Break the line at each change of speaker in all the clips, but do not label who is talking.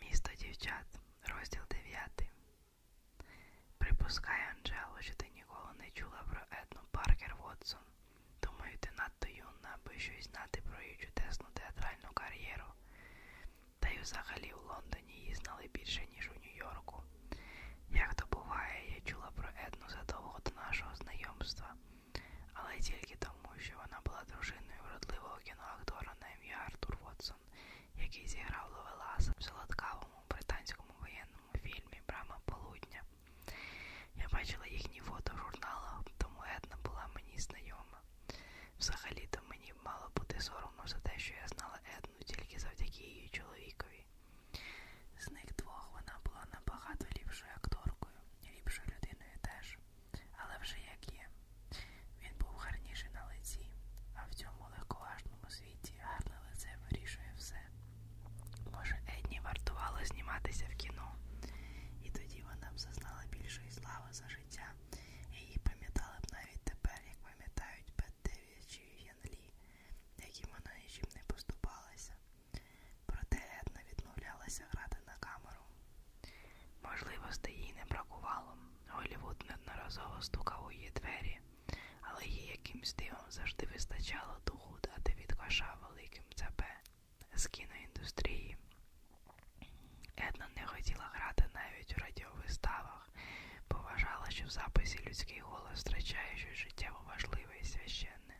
Місто дівчат, розділ 9. Припускай, Анджело, що ти ніколи не чула про Едну Паркер Вотсон. Думаю, ти надто юна, аби щось знати про її чудесну театральну кар'єру. Та й взагалі у Лондоні її знали більше, ніж у Нью-Йорку. Як то буває, я чула про Едну задовго до нашого знайомства, але тільки тому, тому що вона була дружиною вродливого кіноактора на ім'я Артур Вотсон, який зіграв Ловеласа в солодкавому британському воєнному фільмі Брама Полудня. Я бачила їхні фото в журналах, тому Една була мені знайома. Взагалі-то мені мало бути соромно за те, що я знала Едну тільки завдяки її чоловікові. З них двох вона була набагато ліпшою акторкою, ліпшою людиною теж але вже як є. Він був гарніший на лиці, а в цьому легковажному світі гарне лице вирішує все. Може, Едні вартувало зніматися в кіно, і тоді вона б зазнала більшої слави за життя. Її пам'ятали б навіть тепер, як пам'ятають Беттеві чи Янлі, яким вона нічим не поступалася. Проте Една відмовлялася грати на камеру. Можливостей їй не бракувало. Голівуд неодноразово стукав у її двері, але їй якимсь дивом завжди вистачало духу дати від коша великим ЦП з кіноіндустрії. Една не хотіла грати навіть у радіовиставах, бо вважала, що в записі людський голос втрачає щось життєво важливе і священне.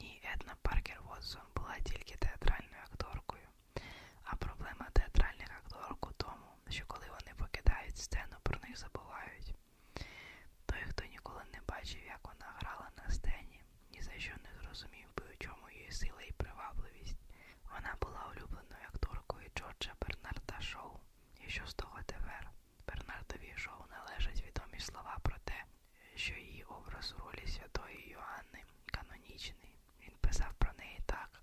Ні, Една Паркер Вотсон була тільки театральною акторкою. А проблема театральних акторок у тому, що коли вони покидають сцену, про них забувають. Той, хто ніколи не бачив, як вона грала на сцені, ні за що не зрозумів би, у чому її сила і привабливість. Вона була улюбленою акторкою Джорджа Бернарда Шоу. І що з того тепер? Бернардові шоу належать відомі слова про те, що її образ у ролі святої Йоанни канонічний. Він писав про неї так,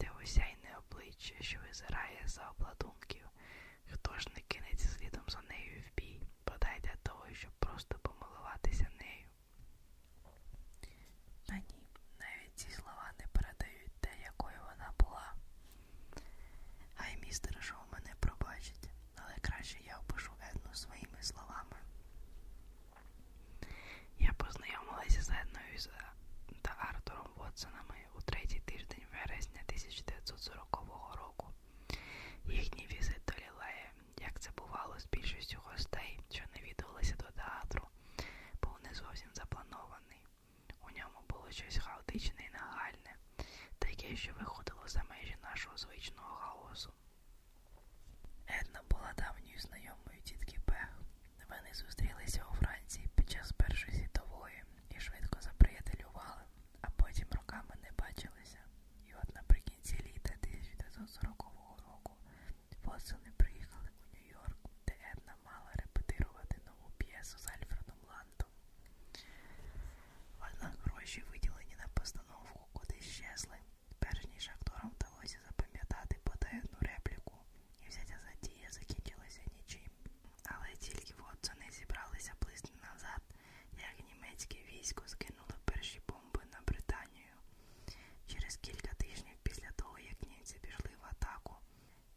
де осяйне обличчя, що визирає за обладунків. Хто ж не кинеться слідом за нею в бій, бодай для того, щоб просто помилуватися нею. Та ні, навіть ці слова не передають те, якою вона була. Хай містер Шоу мене пробачить, але краще я опишу Едну своїми словами. Я познайомилася з Едною та Артуром Вотсонами у третій тиждень вересня 1940 року. Їхній візит до Лілеї, як це бувало з більшістю гостей, що не відвелися до театру, був не зовсім запланований. У ньому було щось хаотичне і нагальне, таке, що виходило за межі нашого звичного хаосу. Една була давньою знайомою тітки Пех. Вони зустрілися у Франції під час Першої світової і швидко заприятелювали, а потім роками не бачилися. І от наприкінці літа 1940 року посили приїхали у Нью-Йорк, де Една мала репетирувати нову п'єсу з Альфредом Лантом. Однак гроші, виділені на постановку, куди щезли. Перш ніж акторам вдалося запам'ятати бодай одну репліку, і взяття задія закінчилося нічим. Але тільки Вотсони зібралися близько назад, як німецьке військо скинуло перші бомби на Британію. Через кілька тижнів після того, як німці пішли в атаку,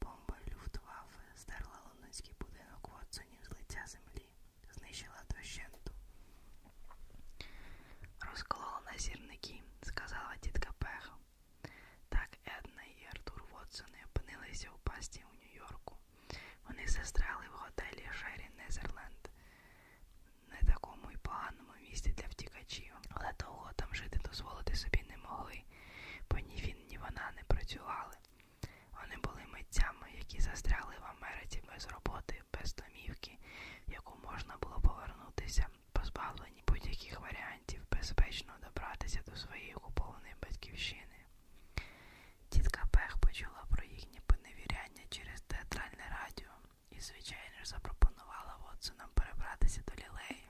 бомба Люфтваффе здерла лондонський будинок Вотсонів з лиця землі, знищила дощенту. Расколол на зірники, сказала тітка Пеха. Так Една і Артур Вотсони опинилися у пасті у Нью-Йорку. Вони застряли в готелі Шері Незерленд. Не такому й поганому місці для втікачів, але довго там жити дозволити собі не могли, бо ні він, ні вона не працювали. Вони були митцями, які застрягли в Америці без роботи, без домівки, яку можна було повернутися, позбавлені будь-яких варіантів безпечно добратися до своєї окупованої батьківщини. Тітка Пех почула про їхнє поневіряння через театральне радіо і, звичайно ж, запропонувала Вотсонам перебратися до лілеї.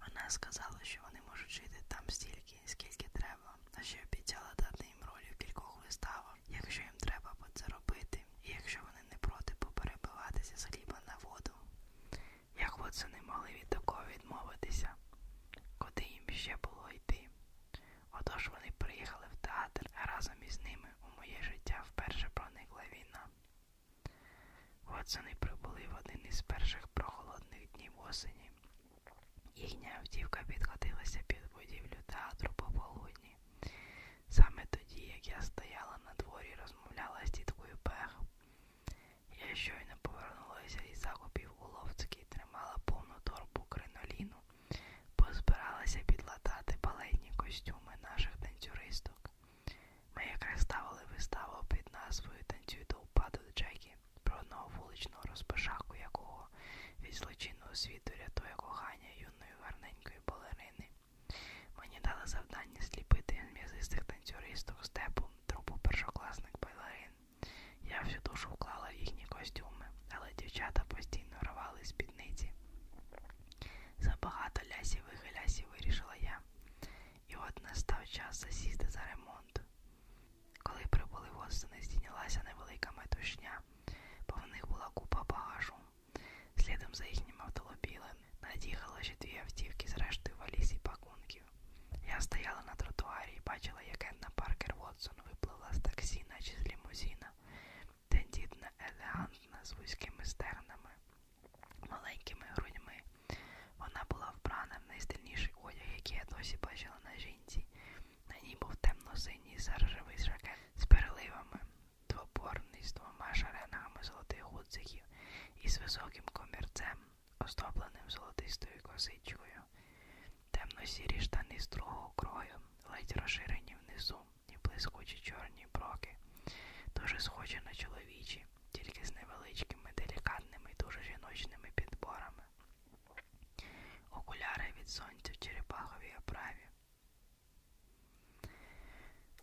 Вона сказала, що вони можуть жити там стільки, скільки треба, а ще обіцяла дати їм роль у кількох виставах, якщо їм треба це робити, і якщо вони не проти поперебиватися з хліба на воду. Як не могли від такого відмовитися, куди їм ще було йти. Отож вони приїхали в театр, а разом із ними у моє життя вперше проникла війна. Вотсони прибули в один із перших прохолодних днів осені. Їхня автівка підкотилася під будівлю театру пополудні. Саме тоді, як я стояла на дворі і розмовляла з тіткою Пех. Я щойно повернулася із закупів у Ловцькій, тримала повну торбу криноліну, позбиралася підлатати балетні костюми наших танцюристок. Ми якраз ставили виставу під назвою Танцюй до упаду Джекі про одного вуличного розпишаку, якого від злочинного світу рятує кохання юної гарне маленької балерини. Мені дали завдання сліпити м'язистих танцюристок степу трупу першокласник балерин. Я всю душу вклала в їхні костюми, але дівчата постійно рвали спідниці. Забагато лясівих і лясів вирішила я. І от настав час засісти за ремонт. Коли прибули восени, здійнялася невелика метушня, бо в них була купа багажу. Следом за їхнім автолобілем над'їхало ще дві автівки з рештою валіз і пакунків. Я стояла на тротуарі і бачила, як Енна Паркер Вотсон випливла з таксі, наче з лімузіна, тендітна, елегантна, з вузькими стернами, маленькими грудьми. Вона була вбрана в найстильніший одяг, який я досі бачила на жінці. На ній був темно-синій заржавий жакет з переливами двоборний з двома шаренами золотих гудзиків із високим комірцем, оздобленим золотистою косичкою, темно-сірі штани з другого крою, ледь розширені внизу і блискучі чорні броки, дуже схожі на чоловічі, тільки з невеличкими, делікатними і дуже жіночними підборами. Окуляри від сонця в черепаховій оправі.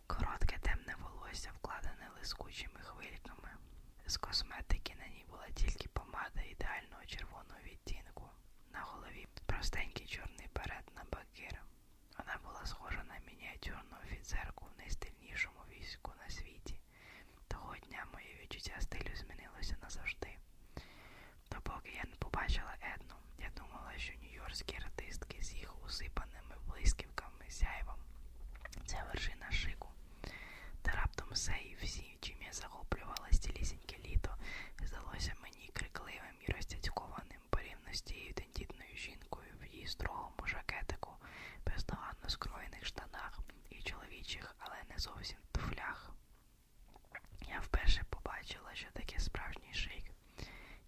Коротке темне волосся вкладене лискучими хвильками. З косметики на ній була тільки помада ідеального червоного відтінку. На голові простенький чорний берет на бакір. Вона була схожа на мініатюрну офіцерку в найстильнішому війську на світі. Того дня моє відчуття стилю змінилося назавжди. Допоки я не побачила Едну, я думала, що нью-йоркські артистки з їх усипаними блисківками сяйвом це вершина шику. Та раптом все і всі, чим я захоплювала цілісіньке літо, здалося мені крикливим і розцяцькованим порівно з тією тендітною жінкою в її строгому жакетику, бездоганно скроєних штанах і чоловічих, але не зовсім туфлях. Я вперше побачила, що таке справжній шик.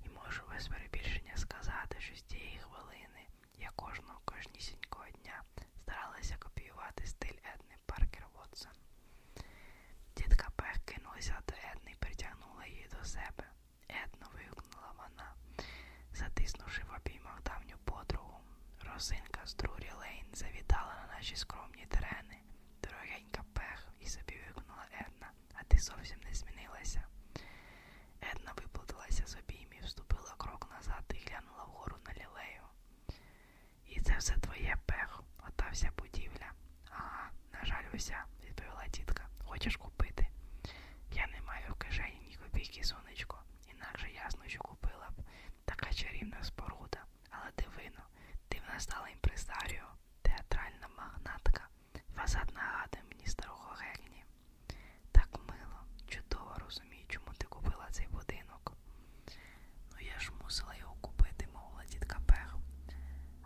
І можу без перебільшення сказати, що з тієї хвилини я кожного кожнісінького дня старалася копіювати стиль Едни Паркер Вотсон. Тітка Пех кинулася до Едни і притягнула її до себе. Едно вигукнула вона, затиснувши в обіймах давню подругу. Росинка з Друрі Лейн завітала на наші скромні терени. Дорогенька Пех і собі вигукнула Една а ти зовсім не змінилася. Една виплатилася з обіймів, вступила крок назад і глянула вгору на лілею. І це все твоє пех, ота вся будівля. Ага, на жаль, уся, відповіла тітка. Хочеш купити? Я не маю в кишені ні копійки, сонечко, інакше ясно, що купила б. Така чарівна споруда. Але дивино, ти в нас стала імпресаріо, театральна магнатка фасадна гада мені старого герні. Так мило, чудово розумію, чому ти купила цей будинок. Ну я ж мусила його купити, мовила тітка Пех.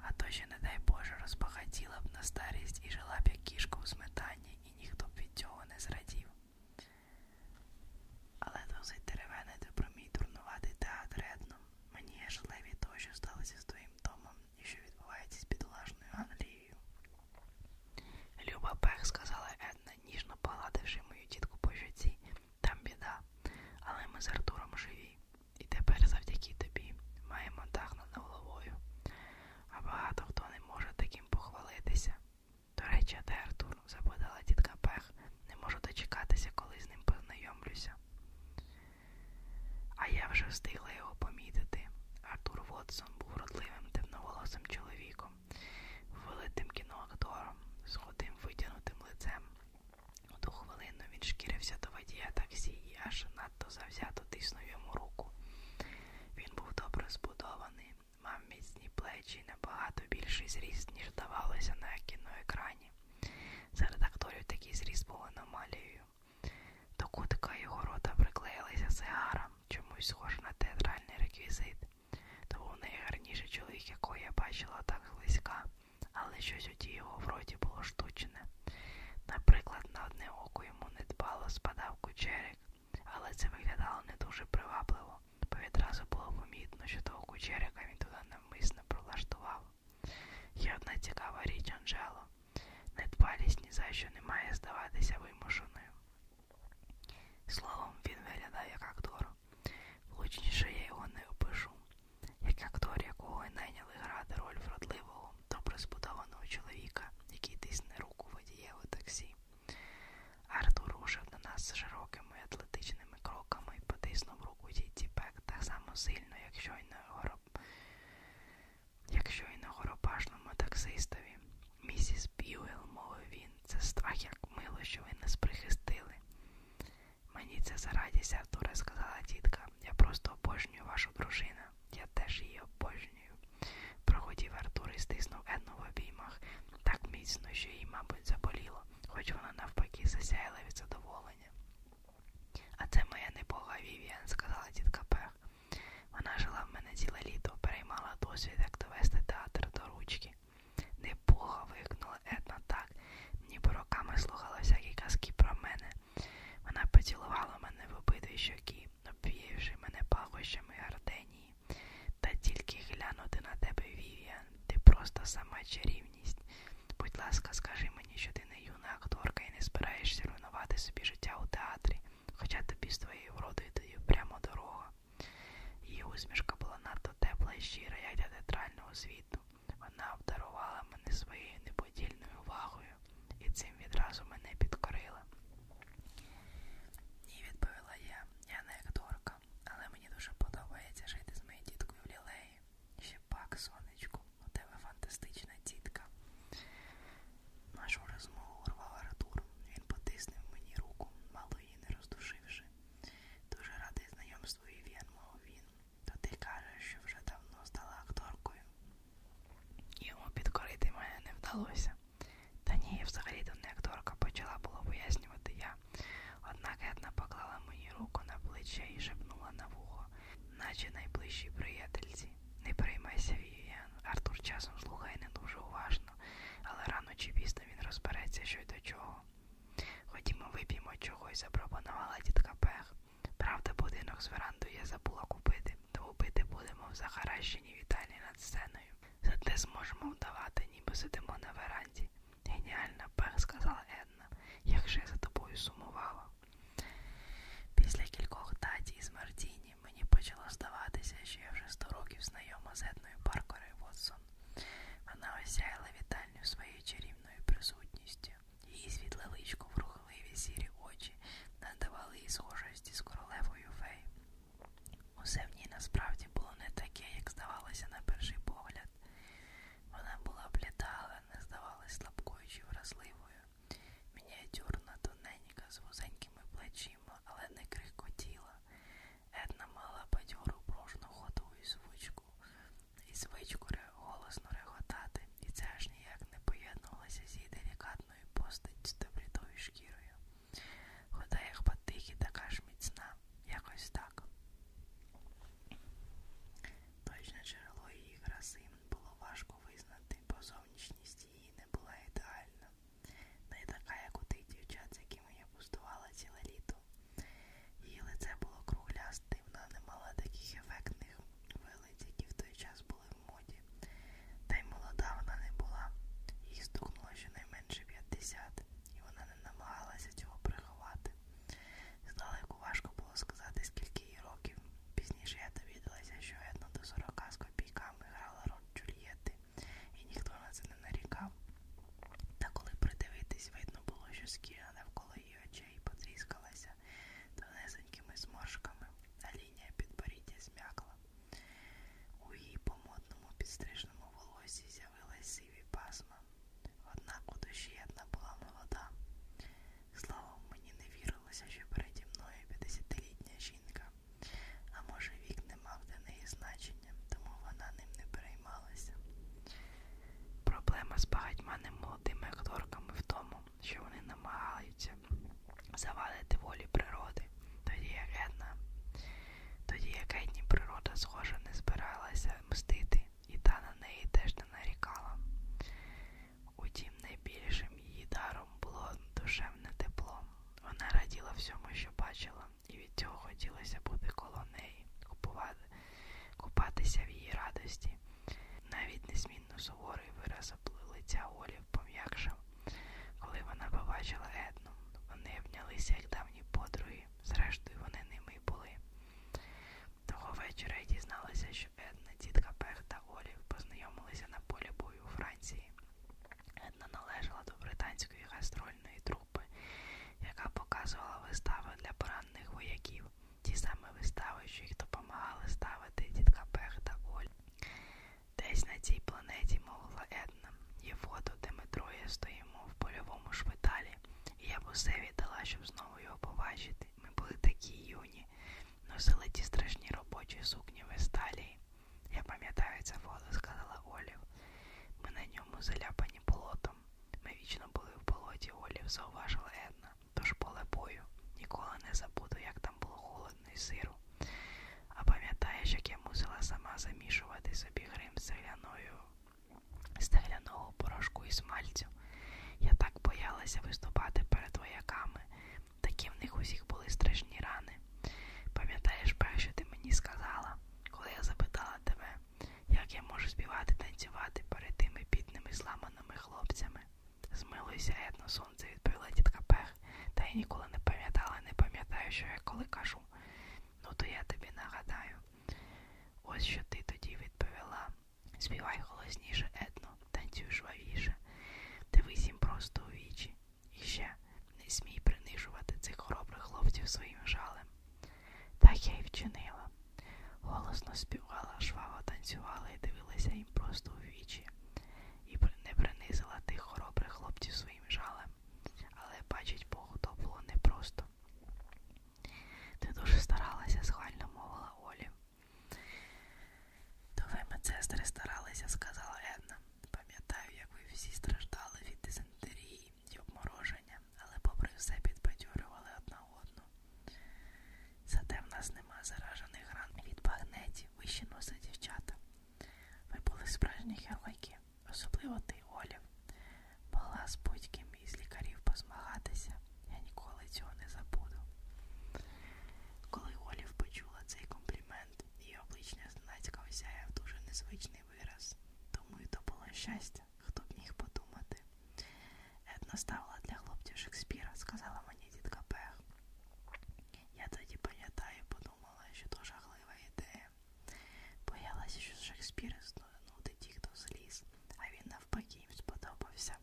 А то ще, не дай Боже, розбагатіла б на старість і жила б як кішка у сметані, і ніхто б від цього не зрадів. Але досить деревенити про мій дурнуватий театр Едном. Мені жаливі того, що сталося з твоїм домом і що відбувається з підлажною Англією. Люба Пех, сказала Една, ніжно погладивши мою тітку по житті, там біда, але ми з Артуром живі. І тепер завдяки тобі маємо дах над головою. А багато хто не може таким похвалитися. До речі, де Артур? запитала тітка Пех, не можу дочекатися, коли з ним познайомлюся. А я вже встигла його помітити. Артур Вотсон був вродливим темноволосим чоловіком, великим кіноактором, з худим витягнутим лицем. У ту хвилину він шкірився до водія таксі і аж надто завзято тиснув йому руку. Він був добре збудований, мав міцні плечі і набагато більший зріст, ніж здавалося на кіноекрані. Серед акторів такий зріст був аномалією. Юлією. До кутика його рота приклеїлася сигара, чомусь схожа на театральний реквізит. То був найгарніший чоловік, якого я бачила так близька, але щось у тій його в роті було штучне. Наприклад, на одне око йому недбало спадав кучерик, але це виглядало не дуже привабливо, бо відразу було помітно, що того кучерика він туди навмисно прилаштував. Є одна цікава річ, Анжело. Недбалість ні за що не має здаватися вимушеною. Словом, він виглядає як актор. Влучніше я його не опишу. Як актор, якого й найняли грати роль вродливого, добре збудованого чоловіка, який тисне руку водієву таксі. Артур рушив до нас широкими атлетичними кроками і потиснув руку дітці Пек так само сильно, як щойно його робив. Якщо і на горопашному таксистові, місіс Б'юел, мовив він, це страх як мило, що ви нас прихистили. Мені це за радість, Артура, сказала тітка. Я просто обожнюю вашу дружину. Я теж її обожнюю. Проходів Артур і стиснув Едну в обіймах так міцно, що їй, мабуть, заболіло, хоч вона навпаки засяяла від задоволення. А це моя непога Вівіан, сказала тітка Пех. Вона жила в мене ціле літо, переймала досвід, як довести театр до ручки. Непога, вигукнула Една так, ніби роками слухала всякі казки про мене. Вона поцілувала мене в обидві щоки, обвіявши мене пахощами гарденії. Та тільки глянути на тебе, Вівіан, ти просто сама чарівність. Будь ласка, скажи мені, що ти не юна акторка і не збираєшся руйнувати собі життя у театрі, хоча тобі з твоєю вродою тоді прямо дорога. Її усмішка була надто тепла і щира, як для театрального світу. Вона обдарувала мене своєю неподільною увагою, і цим відразу мене підкорила. Ні, відповіла я, я не акторка, але мені дуже подобається жити з моєю діткою в лілеї. Ще пак, сонечку, у тебе фантастична тітка. Нашу розмову урвав Артур. Він потиснув мені руку, мало її не роздушивши. Дуже радий знайомству Ів'ян, мов він. То ти кажеш, що вже давно стала акторкою. Йому підкорити мене не вдалося. Та ні, взагалі то не акторка почала було пояснювати я. Однак Етна поклала мені руку на плече і шепнула на вухо наче найближчі приятельці. Не переймайся, Вівіан. Артур часом слухає не дуже уважно, але рано чи пізно він розбереться, що й до чого. Ходімо, вип'ємо чогось, запропонувала тітка Пех. Правда, будинок з верандою я забула купити, то вбити будемо в захаращеній вітальні над сценою. Зате зможемо вдавати, ніби сидимо на веранді. Геніальна Пех, сказала Една, як же я за тобою сумувала. Після кількох таті із Мартіні мені почало здаватися, що я вже 100 років знайома з Етною Паркерою Вотсон. Вона осяяла вітальню своєю чарівною присутністю. Її світле личко, врухливі сірі очі надавали їй схожості з королевою фей. Усе в ній насправді було не таке, як здавалося на перший погляд. Вона була бліда, але не здавалась слабкою чи вразливою. Мініатюрна, тоненька, з вузенькими плечима, але не крихкотіла. Една мала бадьору пружну ходу і звичку, і звичку голосно реготати, і це аж ніяк не поєднувалося з її делікатною постаттю та блідою шкірою. Хода як батихі така ж міцна, якось так. Точне джерело її краси було важко визнати, бо зовнішність її не була ідеальна, не така, як у тих дівчат, з якими я пустувала ціле літо. Її лице було круглясте, вона не мала таких ефектних вилиць, які в той час були в моді. Та й молода вона не була, їй стукнуло щонайменше 50, і вона не намагалася цього приховати. Здалеку важко було сказати, скільки їй років. Пізніше я довідалася, що Една до 40 з копійками грала роль Джульєтти, і ніхто на це не нарікав. Та коли придивитись, видно було, що шкіра навколо її очей потріскалася донесенькими зморшками, а лінія підборіддя зм'якла. У її помотному підстрижному волосі з'явилась сиві пасма. Однак у душі Една була молода. Словом, мені не вірилося, що переді мною 50-літня жінка. А може, вік не мав для неї значення, тому вона ним не переймалася. Проблема з багатьма немолодими акторками в тому, що вони намагаються завадити волі природи, тоді як Една. Тоді як Едні природа, схоже, не збиралася мстити, і та на неї теж не нарікала. Утім, найбільшим її даром було душевне тепло. Вона раділа всьому, що бачила, і від цього хотілося бути коло неї, купувати, купатися в її радості. Навіть незмінно суворий вираз лиця Олі пом'якшав. Коли вона побачила Едну, вони обнялися, як давні подруги, зрештою, вони ними й були. Того вечора я дізналася, що що Една, тітка Пех та Олів познайомилися на полі бою у Франції. Една належала до британської гастрольної трупи, яка показувала вистави для поранених вояків, ті самі вистави, що їх допомагали ставити тітка Пех та Оль. Десь на цій планеті мовила Една, є фото, де ми троє стоїмо в польовому шпиталі, і я б усе віддала, щоб знову його побачити згадати, ми були такі юні, носили ті страшні робочі сукні в Есталії. Я пам'ятаю це фото, сказала Олів. Ми на ньому заляпані болотом. Ми вічно були в болоті Олів, зауважила Една. Тож поле бою. Ніколи не забуду, як там було холодно і сиро. А пам'ятаєш, як я мусила сама замішувати собі грим з цегляною. З порошку і смальцю. Я так боялася виступати перед вояками, такі в них усіх були страшні рани. Пам'ятаєш, перше ти мені сказала, коли я запитала тебе, як я можу співати танцювати перед тими бідними зламаними хлопцями? Змилуйся, етно сонце, відповіла тітка Пех, та я ніколи не пам'ятала, не пам'ятаю, що я коли кажу. Ну, то я тобі нагадаю. Ось що ти тоді відповіла. Співай голосніше, етно, танцюй жвавіше. Дивись їм просто у вічі. І ще не смій принижувати цих хоробрих хлопців своїм жалем. Так я й вчинила. Голосно співала, жваво танцювала і дивилася їм просто у вічі. І не принизила тих хоробрих хлопців своїм жалем. Але бачить Богу, то було непросто. Ти дуже старалася, схвально мовила Олі. То ви, медсестри, старалися, сказала Една. Пам'ятаю, як ви всі страждали від дизентерії і обмороження, але попри все підбадьорювали одна одну. Зате в нас нема заражених ран від багнеті, вищі носи дівчата. Ви були справжні геройки, особливо ти, Олів. Могла з будь-ким із лікарів позмагатися. Я ніколи цього не забуду. Коли Олів почула цей комплімент, її обличчя зненацька осяяв дуже незвичний вираз. Думаю, то було щастя, хто б міг подумати. Една ставила для хлопців Шекспіра, сказала мені дідка Пех. Я тоді пам'ятаю, подумала, що то жахлива ідея. Боялася, що Шекспір знудить їх до зліз, а він навпаки їм сподобався.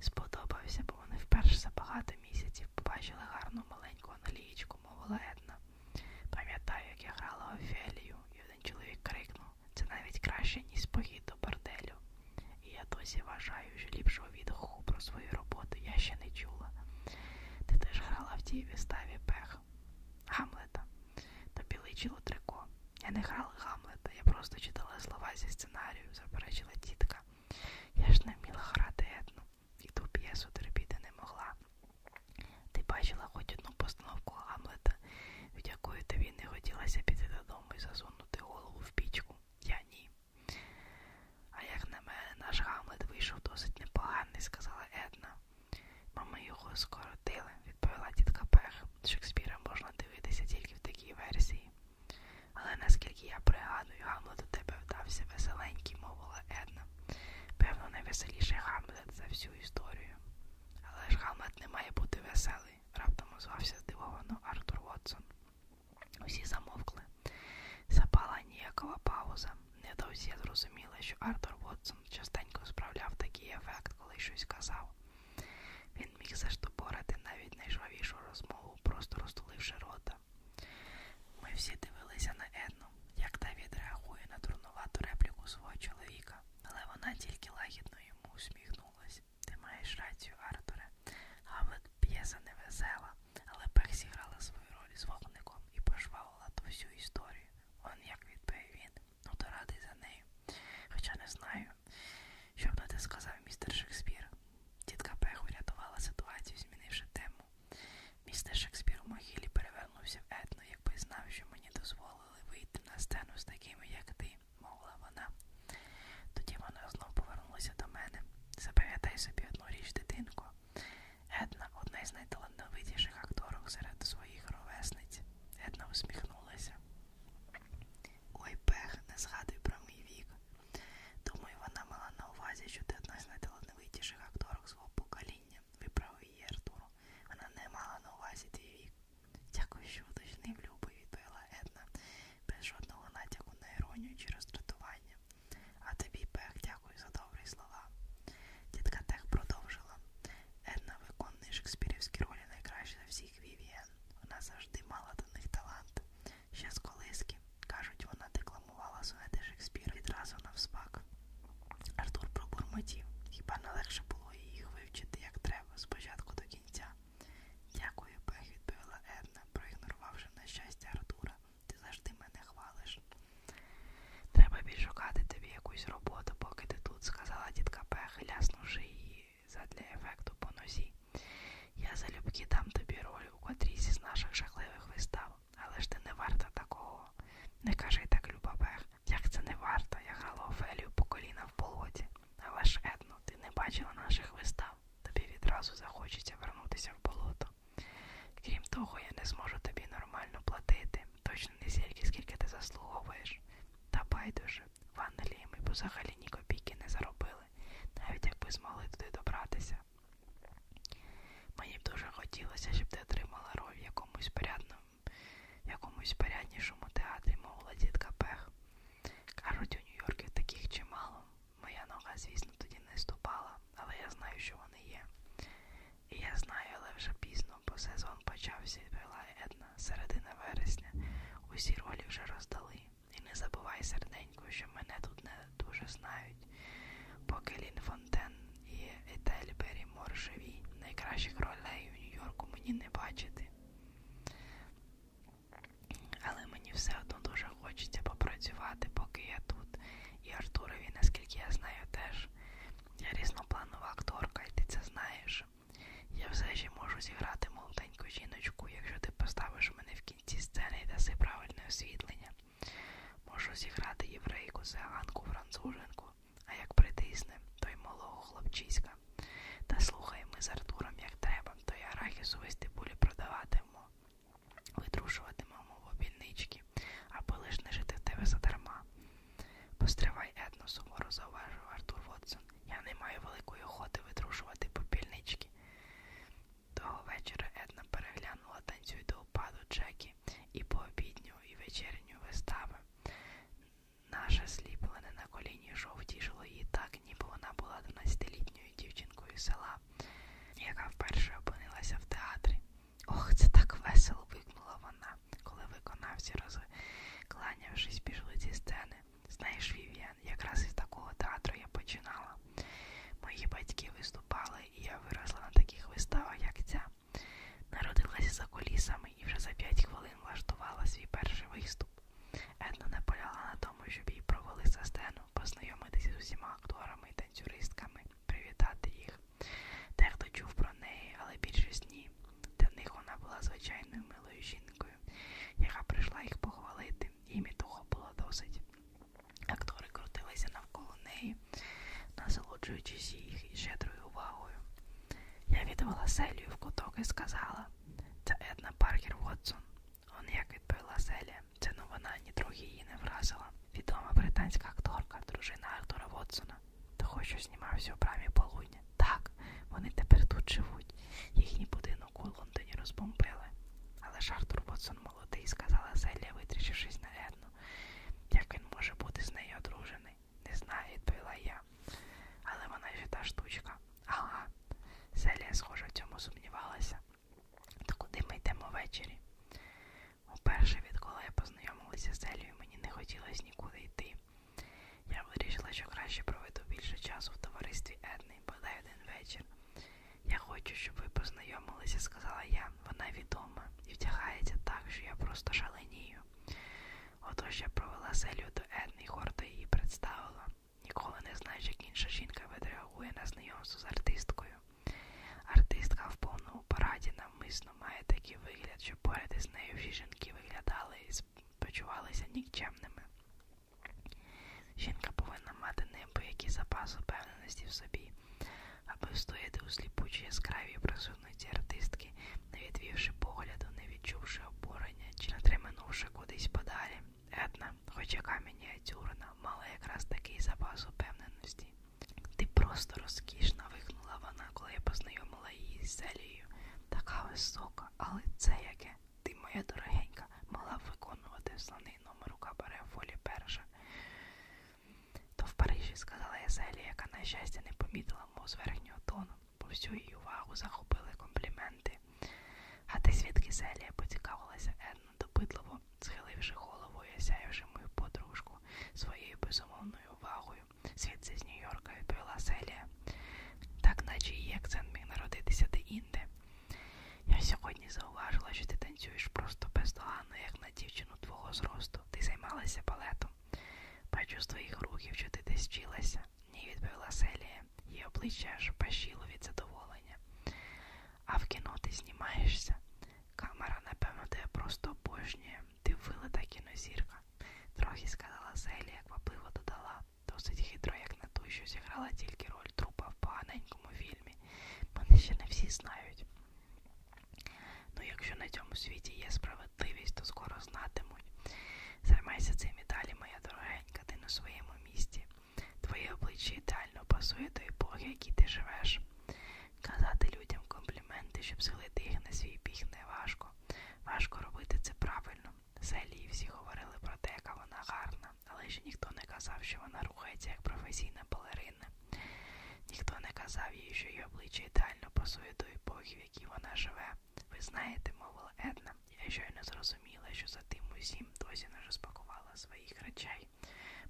Сподобався, бо вони вперше за багато місяців побачили гарну маленьку аналієчку, мовила Една. Пам'ятаю, як я грала Офелію, і один чоловік крикнув це навіть краще, ніж похід до борделю. І я досі вважаю, що ліпшого відгуку про свою роботу я ще не чула. Ти теж грала в тій виставі пех Гамлета. Тобі личило трико. Я не играла Гамлета, я просто читала слова зі сценарію, заперечила тітка. Я ж не вміла грати етну, і ту п'єсу терпіти не могла. Ти бачила хоч одну постановку Гамлета, від якої тобі не хотілося піти додому і засунути голову в пічку. Я ні. А як на мене, наш Гамлет вийшов досить непоганий, сказала Една. Мами його скоротили, відповіла тітка Пех. Шекспіра можна дивитися тільки в такій версії. Але наскільки я пригадую, Гамлет у тебе вдався веселенький, мовила Една. Певно, найвеселіший Гамлет за всю історію. Але ж Гамлет не має бути веселий, раптом озвався здивовано Артур Вотсон. Усі замовкли. Запала ніякова пауза. Недовзі я зрозуміла, що Артур Вотсон частенько справляв такий ефект, коли щось казав. Він міг заштопорити навіть найжвавішу розмову, просто розтуливши рота. Ми всі дивилися на Едну, як та відреагує на дурнувату репліку свого чоловіка, але вона тільки лагідно йому усміхнулась. Ти маєш рацію, Артуре. Гавлет п'єса невесела, але Пех зіграла свою роль з вогником і пожвавила ту всю історію. Он як відповів він, ну то радий за нею. Хоча не знаю, мною. Що б на те сказав містер Шекспір? Тітка Пех урятувала ситуацію, змінивши тему. Містер Шекспір у могилі перевернувся в етно, якби знав, що мені дозволили вийти на сцену з такими, як ти, мовила вона. Тоді вона знов повернулася до мене. Запам'ятай собі одну річ, дитинко. Една одна із найталановитіших акторок серед своїх ровесниць. Една усміхнулася. Ой, пех, не згадуй про мій вік. Думаю, вона мала на увазі, що ти одна з найталановитіших акторок свого покоління. Виправив її Артур. Вона не мала на увазі твій вік. Дякую, що уточнив, любий, відповіла Една, без жодного натяку на іронію чи роздратування. А тобі, пех, дякую за добрі слова. Дітка Тех продовжила. Една виконує шекспірівські ролі найкраще за всіх Вівіан. Вона завжди мала до них талант. Ще з колиски, кажуть, вона декламувала сонети Шекспіра відразу навспак. Артур пробурмотів. Хіба не легше було їх вивчити, як треба, спочатку до кінця. Дякую, Пех, відповіла Една, проігнорувавши на щастя Артура. Ти завжди мене хвалиш. Треба більш шукати тобі якусь роботу, поки ти тут, сказала дітка Пех, ляснувши її задля ефекту по нозі. Я залюбки дам тобі роль у котрійсь із наших жахливих вистав, але ж ти не варта такого. Не кажи так, Люба Бех, як це не варто, я грала Офелію по коліна в болоті. Але ж, Едно, ти не бачила наших вистав. Тобі відразу захочеться вернутися в болото. Крім того, я не зможу тобі нормально платити, точно не стільки, скільки ти заслуговуєш. Та байдуже, в Англії ми б взагалі ні копійки не заробили, навіть якби змогли туди добратися. Мені б дуже хотілося, щоб ти отримала роль в якомусь порядному, в якомусь поряднішому театрі, мовила дітка Пех. Кажуть, у Нью-Йорків таких чимало. Моя нога, звісно, тоді не ступала, але я знаю, що вони є. І я знаю, але вже пізно, бо сезон почався, відповіла Една, середина вересня. Усі ролі вже роздали. І не забувай, серденько, що мене тут не дуже знають. Поки Лін Фонтен і Етель Беррі Мор живі, найкращих ролей у Нью-Йорку мені не бачити. Але мені все одно дуже хочеться попрацювати, поки я тут. І Артурові, наскільки я знаю, теж. Я різнопланова акторка, і ти це знаєш. Я все ще можу зіграти молоденьку жіночку, якщо ти поставиш мене в кінці сцени і даси правильне освітлення. Можу зіграти єврейку, циганку, француженку, а як притисне, то й малого хлопчиська. Та слухай ми з Артуром як треба, то й арахісу весь тибулі продаватимемо, витрушуватимемо в обільнички, аби лиш не жити в тебе задарма. Постривай етно, суворо зауважив Артур Вотсон. Я не маю великої охоти витрушувати попільнички. Того вечора Една переглянула танцюй до упаду Джекі і пообідню, і вечірню вистави. Наше сліплене на коліні шов тішило її так, ніби вона була 12-літньою дівчинкою села, яка вперше опинилася в театрі. Ох, це так весело! вигукнула вона, коли виконавці, розкланявшись, пішли зі сцени. Знаєш, Вів'ян, якраз із такого театру я починала. Мої батьки виступали, і я виросла на таких виставах, як ця. Народилася за колісами і вже за 5 хвилин влаштувала свій перший виступ. Една наполягла на тому, щоб її провели за сцену, познайомитися з усіма акторами і танцюристками, привітати їх. Дехто чув про неї, але більшість ні. Для них вона була звичайною милою жінкою, яка прийшла їх похвалити робити. Їй того було досить. Актори крутилися навколо неї, насолоджуючись їх щедрою увагою. Я відвела Селію в куток і сказала: це Една Паркер Вотсон. Он як відповіла Селія. Це новина ну нітрохи її не вразила. Відома британська акторка, дружина Артура Вотсона. Того, що знімався у брамі полудня. Так, вони тепер тут живуть. Їхній будинок жінок у Лондоні розбомбили. Але ж Артур Вотсон молодий, сказала Селія, витріщившись на Едну. Як він може бути з нею одружений? Не знаю, відповіла я. Але вона ж та штучка. Ага. Селія, схоже, в цьому сумнівалася. То куди ми йдемо ввечері? Уперше, відколи я познайомилася з Селією, мені не хотілося нікуди йти. Я вирішила, що краще проведу більше часу в товаристві Едни наступний, бодай один вечір. Я хочу, щоб ви познайомилися, сказала я. Вона відома і втягається так, що я просто шаленію. Отож я провела селю до Едни Хорта і її представила. Ніколи не знаєш, як інша жінка відреагує на знайомство з артисткою. Артистка в повному параді навмисно має такий вигляд, що поряд із нею всі жінки виглядали і почувалися нікчемними. Жінка повинна мати неабиякі запас упевненості в собі, аби встояти у сліпучій яскравій присутності артистки, не відвівши погляду, не відчувши обурення чи не триманувши кудись подалі. Етна, хоч яка мініатюрна, мала якраз такий запас упевненості. Ти просто розкішна, вигнула вона, коли я познайомила її з Зелією. Така висока, але це яке. Ти, моя дорогенька, могла б виконувати слони номер рука бере фолі перша. То в Парижі сказала Езелі, яка, на щастя, не помітила моз верхнього тону, бо всю її увагу захопили компліменти. А ти звідки Зелія? поцікавилася Една допитливо, схиливши голову і осяявши мою подружку своєю безумовною увагою. Звідси з Нью-Йорка відповіла Селія. Так наче її акцент міг народитися де інде. Я сьогодні зауважила, що ти танцюєш просто бездоганно, як на дівчину твого зросту. Ти займалася балетом. Бачу з твоїх рухів, що ти десь вчилася. Ні, відповіла Селія, її обличчя аж пащило від задоволення. А в кіно ти знімаєшся. Камера, напевно, тебе просто обожнює. Ти вилита кінозірка. Трохи сказала Селія, квапливо додала. Досить хитро, як на ту, що зіграла тільки роль трупа в поганенькому фільмі. Мене ще не всі знають. Ну, якщо на цьому світі є справедливість, то скоро знатимуть. Займайся цим і далі, моя дорогенька, ти на своєму місці. Твоє обличчя ідеально пасує до епохи, в якій ти живеш. Казати людям компліменти, щоб схилити їх на свій біг, не важко. Важко робити це правильно. В селі всі говорили про те, яка вона гарна, але ще ніхто не казав, що вона рухається як професійна балерина. Ніхто не казав їй, що її обличчя ідеально пасує до епохи, в якій вона живе. Ви знаєте, мовила Една, я щойно зрозуміла, що за тим усім досі не розпакувала своїх речей.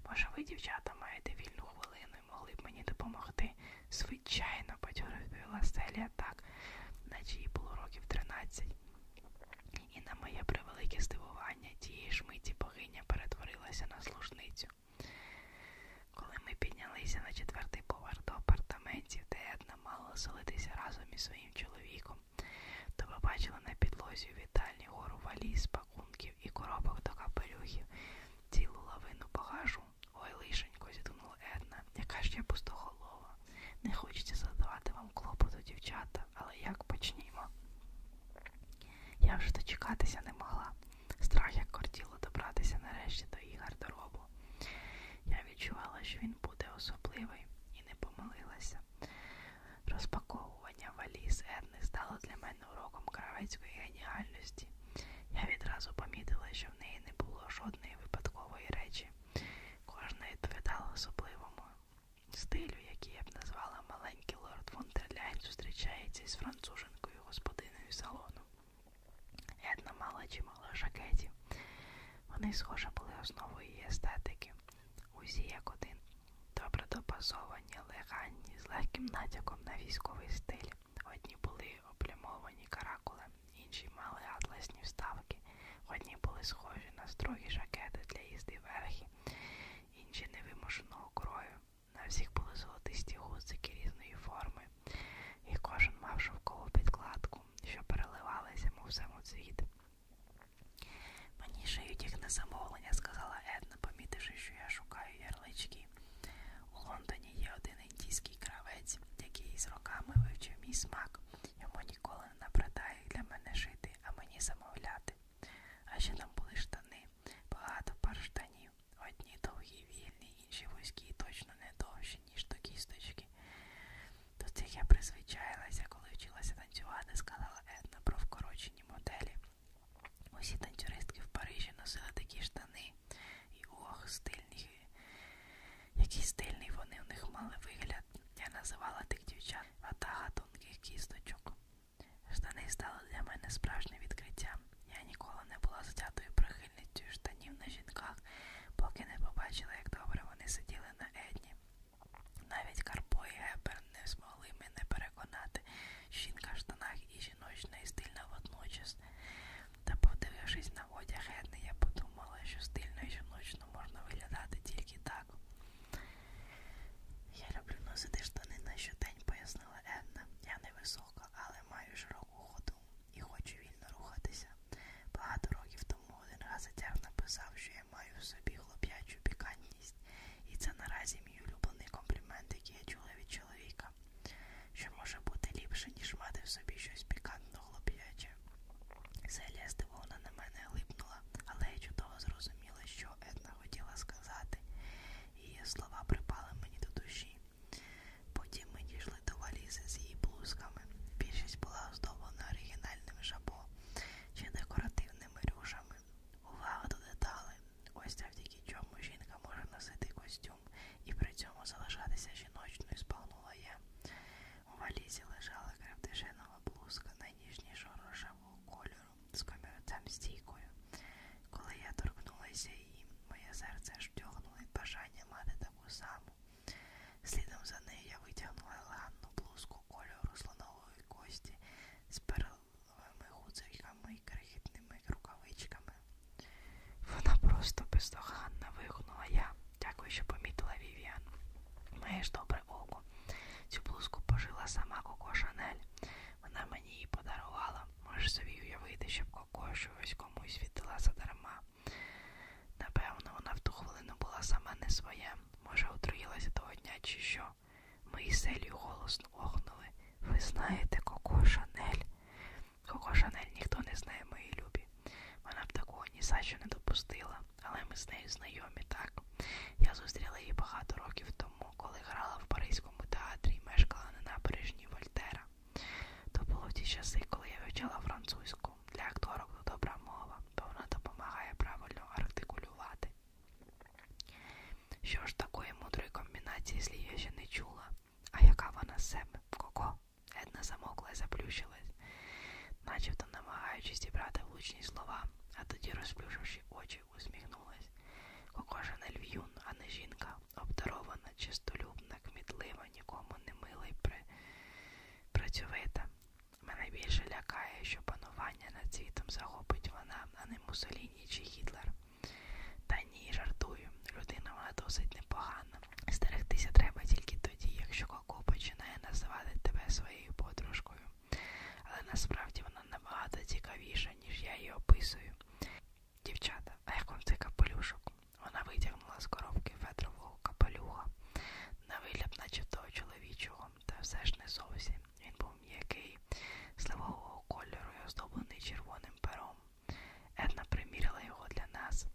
Може, ви, дівчата, маєте вільну хвилину і могли б мені допомогти? Звичайно, бадьоро відповіла Селія так, наче їй було років тринадцять і на моє превелике здивування тієї ж миті богиня перетворилася на служницю. Коли ми піднялися на четвертий поверх до апартаментів, де Една мала оселитися разом із своїм чоловіком, то побачила на підлозі у вітальні гору валіз, пакунків і коробок до капелюхів, цілу лавину багажу. Ой, лишенько, зітхнула Една, яка ж я пустоголова. Не хочеться задавати вам клопоту, дівчата, але як почнімо. Я вже дочекатися не могла. Страх як кортіло добратися нарешті до її гардеробу. Я відчувала, що він буде особливий, і не помилилася. Розпаковування валіз Ерни стало для мене уроком кравецької геніальності. Я відразу помітила, що в неї не було жодної випадкової речі. Кожна відповідала особливому стилю, який я б назвала маленький лорд Вонтерляйн, зустрічається із француженкою господиною салону. Една мала чимало жакетів. Вони схоже були основою її естетики. Усі як один, добре допасовані, леганні, з легким натяком на військовий стиль. Одні були облямовані каракулем, інші мали атласні вставки сорочки. Одні були схожі на строгі жакети для їзди верхи, інші невимушеного крою. На всіх були золотисті гузики різної форми, і кожен мав шовкову підкладку, що переливалася, мов самоцвіт. Мені шиють їх на замовлення, сказала Една, помітивши, що я шукаю ярлички. У Лондоні є один індійський кравець, який з роками вивчив мій смак. Йому ніколи не набридає для мене шити робити, а мені замовляти. А ще там були штани, багато пар штанів. Одні довгі, вільні, інші вузькі, точно не довші, ніж до кісточки. До цих я призвичаїлася, коли вчилася танцювати, сказала Етна про вкорочені моделі. Усі танцюристки в Парижі носили такі штани. І ох, стильні. Який стильний вони в них мали вигляд погляд. Я називала тих дівчат ватага тонких кісточок. Штани стали для мене справжнім відкриттям. Я ніколи не була затятою прихильницею штанів на жінках, поки не побачила, як добре вони сиділи на Едні. Навіть Карпо і Гебер не змогли мене переконати, що жінка в штанах і жіночна, і стильна водночас. Та, подивившись на одяг Едни, я подумала, що стильно і жіночно можна виглядати тільки так. Я люблю носити штани на щодень, пояснила Енна. Я невисока, але маю широку ходу і хочу вільно рухатися. Багато років тому один газетяр написав, що я маю в собі хлоп'ячу пікантність, і це наразі мій улюблений комплімент, який я чула від чоловіка. Що може бути ліпше, ніж мати в собі щось пікантно хлоп'яче обличчя. Селія здивована на мене глипнула, але я чудово зрозуміла, що Една хотіла сказати. Її слова припали мені до душі. Потім ми дійшли до валізи з її блузками. Більшість була оздоблена оригінальним жабо чи декоративними рюшами. Увага до деталей. Ось завдяки чому жінка може носити костюм і при цьому залишатися жіночною, спагнула я. У валізі лежала кравдишинова блузка найніжнішого рожевого кольору з комірцем стійкою. Коли я торкнулася її, моє серце аж втягнуло від бажання мати таку саму. Слідом за нею я витягнула елегантну блузку кольору слонової кості з перловими гудзиками і крихітними рукавичками. Вона просто бездоганна вигукнула я. Дякую, що помітила Вівіан. Маєш добре око. Цю блузку пожила сама Коко Шанель. Вона мені її подарувала. Можеш собі уявити, щоб Коко щось комусь віддала задарма. Напевно, вона в ту хвилину була сама не своя. Може, отруїлася того дня, чи що. Ми із селію голосно охнули. Ви знаєте, Коко Шанель. Коко Шанель ніхто не знає мої любі. Вона б такого ні за що не допустила але ми з нею знайомі, так? Я зустріла її багато років тому, коли грала в Паризькому театрі і мешкала на набережні Вольтера. То було ті часи, коли я вивчала французьку. Для акторок то добра мова, бо вона допомагає правильно артикулювати. Що ж такої мудрої комбінації слів я ще не чула, а яка вона з себе? Коко? Една замокла і заплющилась, начебто намагаючись зібрати влучні слова, а тоді, розплюшивши очі, усміхнулась. Кокожа не льв'юн, а не жінка, обдарована, чистолюбна, кмітлива, нікому не мила й при... працьовита. Мене більше лякає, що панування над світом захопить вона, а не Мусоліні чи Гітлер. Та ні, жартую. Людина вона досить непогана. Стерегтися треба тільки тоді, якщо Коко починає називати тебе своєю подружкою але насправді вона набагато цікавіша, ніж я її описую. Дівчата, а як вам цей капелюшок? Вона витягнула з коробки фетрового капелюха, на вигляд, наче того чоловічого, та все ж не зовсім. Він був м'який, сливового кольору і оздоблений червоним пером. Една приміряла його для нас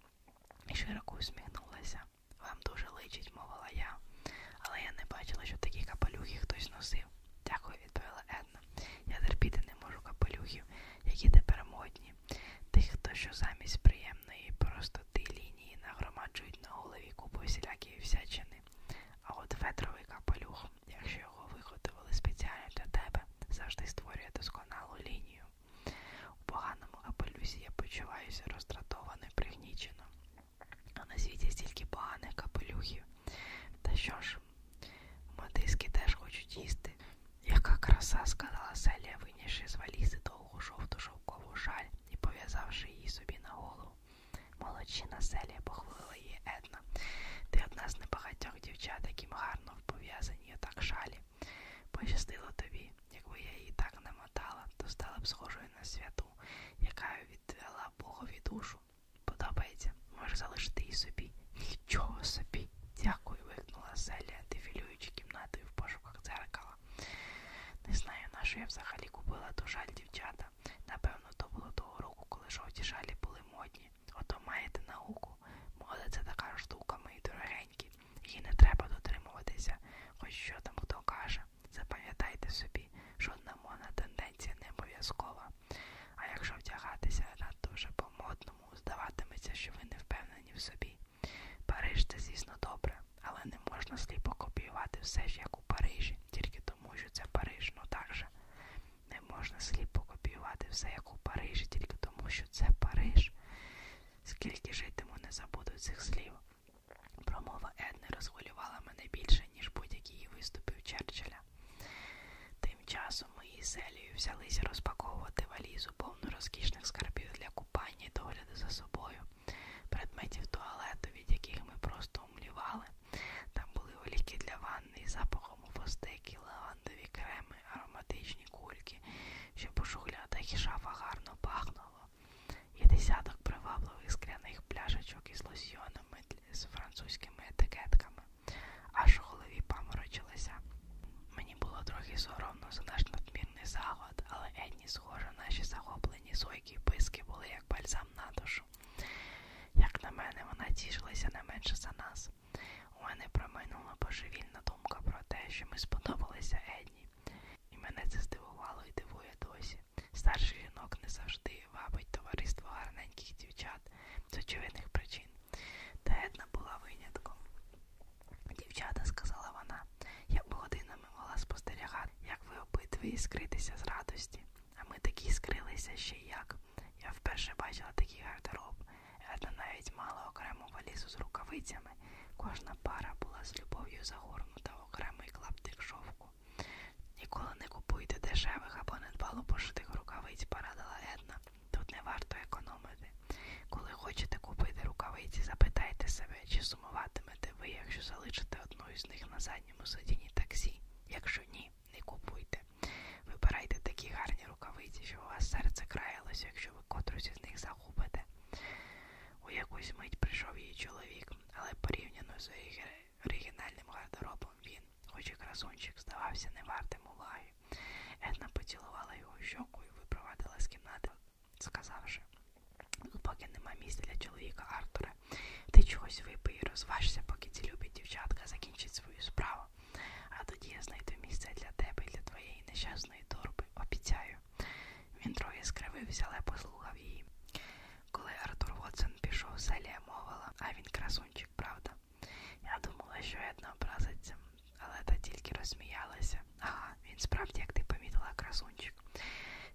і широко усміхнулася. Вам дуже личить, мовила я, але я не бачила, що такі капелюхи хтось носив. Дякую, відповіла Една. Я терпіти не можу капелюхів, які тепер модні. Тих, хто що замість приємної простоти лінії нагромаджують на голові купу всілякої всячини. А от фетровий капелюх, якщо його виготовили спеціально для тебе, завжди створює досконалу лінію. У поганому капелюсі я почуваюся роздратовано і пригнічено. А на світі стільки поганих капелюхів. Та що ж, матиски теж хочуть їсти. Яка краса, сказала Селія, винявши з валізи довгу жовту шовкову шаль і пов'язавши її собі на голову. Молодчина Селія похвалила її Една. Ти одна з небагатьох дівчат, яким гарно пов'язані отак шалі. Пощастило тобі, якби я її так намотала, то стала б схожою на свято доброту, яка відвела Богові душу. Подобається, може залишити її собі. Нічого собі. Дякую, вигнула Селія, дефілюючи кімнатою в пошуках дзеркала. Не знаю, на що я взагалі купила ту жаль дівчата. Напевно, то було того року, коли жовті жалі були модні. Ото маєте науку. Мода це така штука, мої дорогенькі. Її не треба дотримуватися, хоч що там хто каже. Запам'ятайте собі, що одна тенденція не обов'язкова. А якщо вдягатися дуже по-модному, здаватиметься, що ви не впевнені в собі. Париж це, звісно, добре, але не можна сліпо копіювати все ж як у Парижі, тільки тому, що це Париж, ну так же. Не можна сліпо копіювати все як у Парижі, тільки тому, що це Париж. Скільки житиму, не забуду цих слів. Промова Едни розхвилювала мене більше, ніж будь-які її виступи у Черчилля. Тим часом ми із Елією взялися розпаковувати валізу повну розкішних скарбів для купання і догляду за собою, предметів туалету, від яких ми просто умлівали. Там були оліки для ванни, запахом у фостики, лавандові креми, ароматичні кульки, щоб у шухлядах і шафах гарно пахнуло і десяток привабливих скляних пляшечок із лосьйонами з французькими етикетками. Аж у голові паморочилася. Мені було трохи соромно за наш надмірний заклад, але Енні, схоже, наші захоплені сойки і писки були як бальзам на душу. Як на мене, вона тішилася не менше за нас. У мене проминула божевільна думка про те, що ми сподобалися Едні. І мене це здивувало і дивує досі. Старших жінок не завжди вабить товариство гарненьких дівчат з очевидних причин. Та Една була винятком. Дівчата, сказала вона, я б годинами могла спостерігати, як ви обидві іскритися з радості. А ми такі іскрилися ще як. Я вперше бачила такий гардероб. Една навіть мала окрему валізу з рукавицями. Кожна пара була з любов'ю загорнута в окремий клаптик шовку. Ніколи не купуйте дешевих або недбало пошитих рукавиць, порадила Една. Тут не варто економити. Коли хочете купити рукавиці, запитайте себе, чи сумуватимете ви, якщо залишите одну із них на задньому сидінні таксі. Якщо ні, не купуйте. Вибирайте такі гарні рукавиці, що у вас серце краялося, якщо ви котрусь із них загубите. У якусь мить прийшов її чоловік але порівняно з оригінальним гардеробом він, хоч і красунчик, здавався не вартим уваги. Една поцілувала його щоку і випровадила з кімнати, сказавши, «Ну, поки нема місця для чоловіка Артура, ти чогось випий і розважся, поки ці любі дівчатка закінчить свою справу. А тоді я знайду місце для тебе і для твоєї нещасної торби, обіцяю. Він трохи скривився, але послухав її. Коли Артур Вотсон пішов, Селія мовила, а він красунчик, правда. Я думала, що Една образиться, але та тільки розсміялася. Ага, він справді, як ти помітила, красунчик.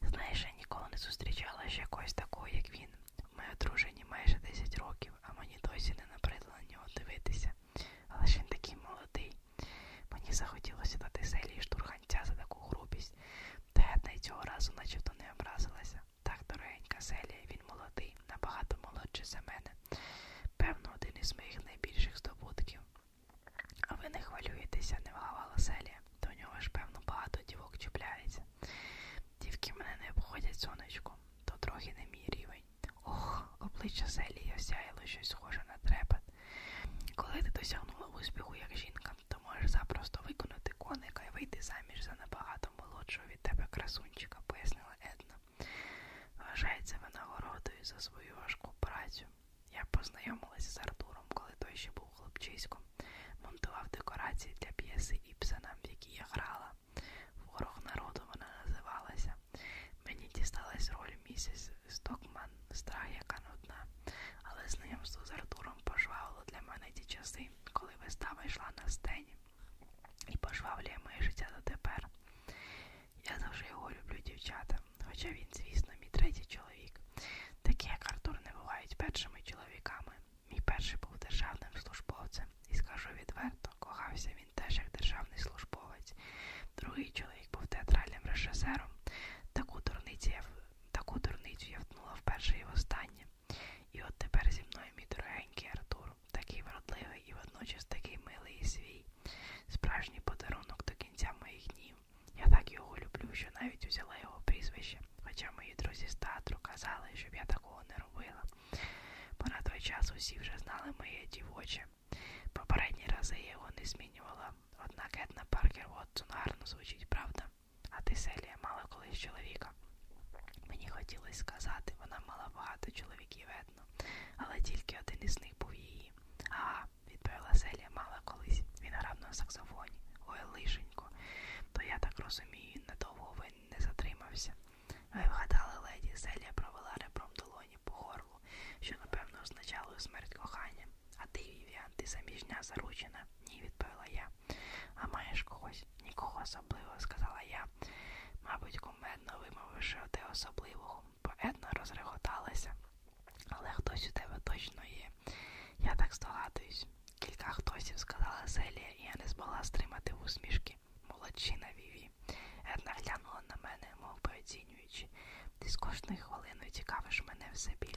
Знаєш, я ніколи не зустрічала ще якогось такого, як він. Ми одружені майже 10 років, а мені досі не набридло на нього дивитися. Але ж він такий молодий. Мені захотілося дати селі штурханця за таку грубість. Тетна цього разу начебто не образилася. Так, дорогенька Селія, він молодий, набагато молодший за мене. Певно, один із моїх найбільших здобутків. А ви не хвилюєтеся, не вгавала Селія. До нього ж, певно, багато дівок чіпляється. Дівки мене не обходять, сонечко, то трохи не мій рівень. Ох, обличчя Селії осяяло щось схоже на трепет. Коли ти досягнула успіху як жінка, то можеш запросто виконати коника і вийти заміж за набагато молодшого від тебе красунчика, пояснила Една. Вважається винагородою за свою важку працю. Я познайомилася з Артуром, коли той ще був хлопчиськом, монтував декорації для п'єси Іпсена, в якій я грала. Ворог народу вона називалася. Мені дісталась роль місіс Стокман страх, яка нудна. Але знайомство з Артуром пожвавило для мене ті часи, коли вистава йшла на сцені і пожвавлює моє життя дотепер. Я завжди його люблю дівчата, хоча він, звісно, мій третій чоловік. Такі, як Артур, не бувають першими чоловіками. Мій перший був державним службовцем, і скажу відверто, кохався він теж як державний службовець. Другий чоловік був театральним режисером. Таку дурниці я Таку дурницю я втнула вперше і востаннє. І от тепер зі мною мій дорогенький Артур, такий вродливий і водночас такий милий і свій, справжній подарунок до кінця моїх днів. Я так його люблю, що навіть узяла його прізвище, хоча мої друзі з театру казали, щоб я такого не робила. Бо на той час усі вже знали моє дівоче. Попередні рази я його не змінювала, однак Етна Паркер Вотсон гарно звучить, правда? А Теселія мала колись чоловіка. Мені хотілося сказати, вона мала багато чоловіків видно, але тільки один із них був її. Ага, відповіла Селія, мала колись. Він грав на саксофоні. Ой, лишенько. То я так розумію, надовго він не затримався. Ви вгадали, леді, Селія провела ребром долоні по горлу, що, напевно, означало смерть кохання. А ти, Вівіан, ти заміжня заручена? Ні, відповіла я. А маєш когось? Нікого особливого, сказала я. Мабуть, кумедно вимовивши оте особливого. Поетно розреготалася. Але хтось у тебе точно є. Я так здогадуюсь. Кілька хтосів, сказала Селія, і я не змогла стримати в усмішки. Молодчина Віві. Една глянула на мене, мов би оцінюючи. Ти з кожною хвилиною цікавиш мене все більше.